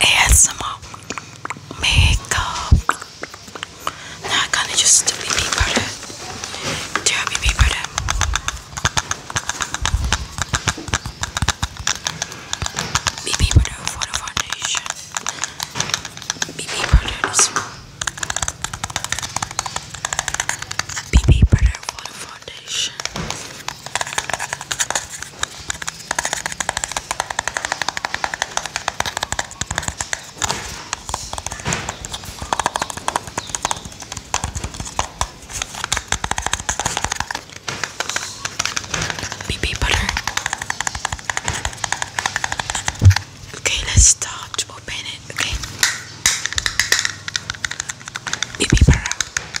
ASMR makeup. Now I kinda just do be powder. Do powder. BB powder for the foundation. BB powder BB powder for the foundation foundation. BB butter. Okay, let's start to open it. Okay, BB butter.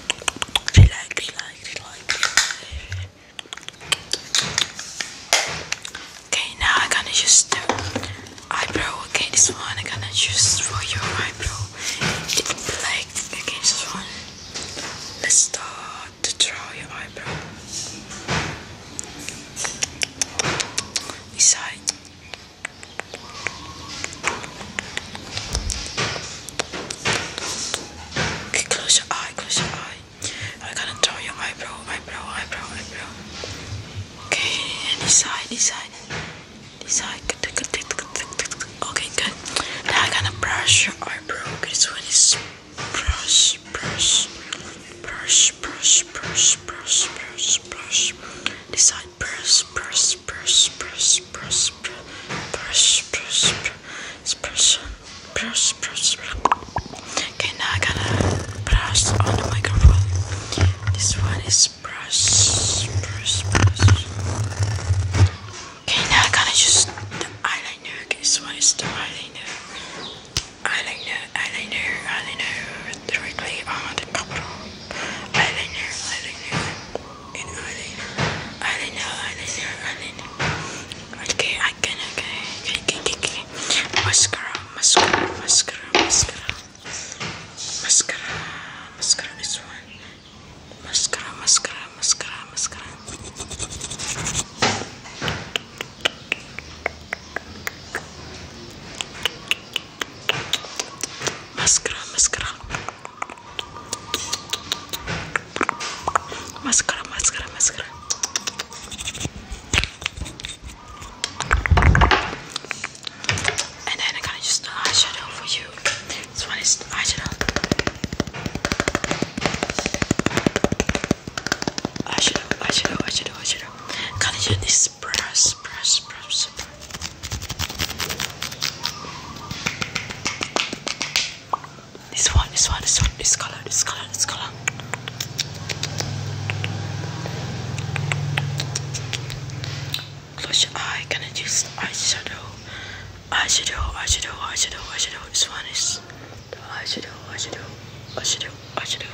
Okay, now I'm gonna use the eyebrow. Okay, this one I'm gonna use for your eyebrow. Black, okay, this one. Let's start to draw your eyebrow. This Okay, close your eye, close your eye. I'm gonna draw your eyebrow, eyebrow, eyebrow, eyebrow. Okay, and this side, this side, this side. Okay, good. Now I'm gonna brush your eyebrow. Okay, this one is brush, brush, brush, brush, brush, brush, brush, brush. This side, brush, brush, brush, brush, brush, brush, brush, brush, brush, brush. Okay, now I gotta brush on the microphone. This one is brush, brush, brush. Okay, now I gotta use the eyeliner. Okay, this one is the eyeliner. Eyeliner, eyeliner, eyeliner. Directly on the cover eyeliner, eyeliner, and eyeliner, eyeliner, eyeliner, eyeliner. Okay, I can, okay, okay, okay, okay, okay. Mascara, mascara, mascara, mascara, mascara, mascara. This one, mascara, mascara, mascara, mascara. Mascara, mascara. Mascara, mascara, mascara. And then I can use the eyeshadow for you. This one is the eyeshadow. Eyeshadow, eyeshadow, eyeshadow, eyeshadow. Can I use this brush, brush, brush, brush. This one, this one, this one, this color, this color, this color. Close your eye, can I use eyeshadow? Eyeshadow, eyeshadow, eyeshadow, eyeshadow. This one is the eyeshadow, eyeshadow, eyeshadow, eyeshadow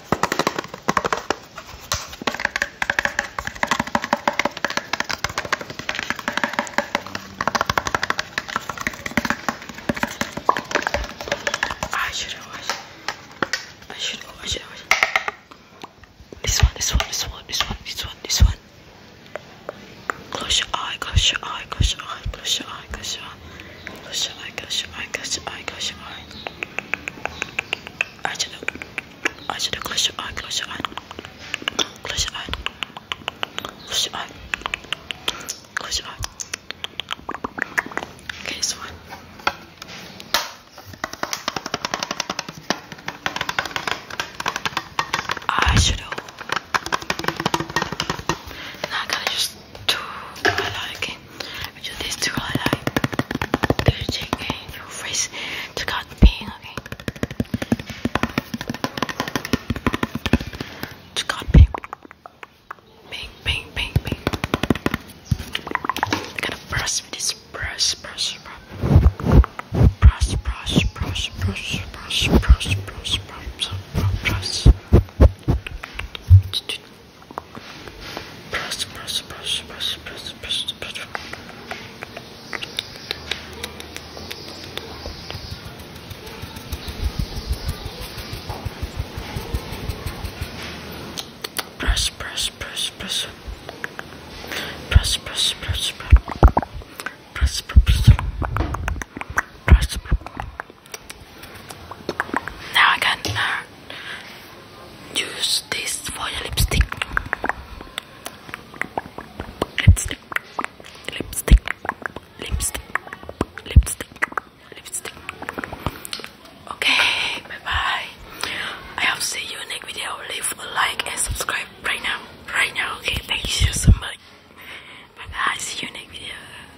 I should wash. I should wash. This one, this one, this one, this one, this one, this one. Close your eye, close your eye, close your eye, close your eye, close your eye. Close your eye, close your eye, close your eye, close your eye. I should have, I should have close your eye, close your eye. Close your eye. Close your eye. Close your eye. Okay, this one. Eyeshadow. Now I gotta use two highlight, okay? this to highlight the cheek and your face to cut pain, okay? To cut pain. Bang, bang, bang, bang. I'm gonna brush with this brush, brush, brush. Brush, brush, brush, brush, brush, brush, brush, brush, brush, brush. Press, press, press, press, press, press, press. Press, press, press, press. Press, press, press, press. Press, press, press. Press, press. Now I can uh, use this for your lipstick. Lipstick, lipstick, lipstick, lipstick, lipstick. Okay, bye bye. I hope to see you in next video. Leave a like and subscribe right now. Right now, okay. Thank you so much. Bye bye. See you next video.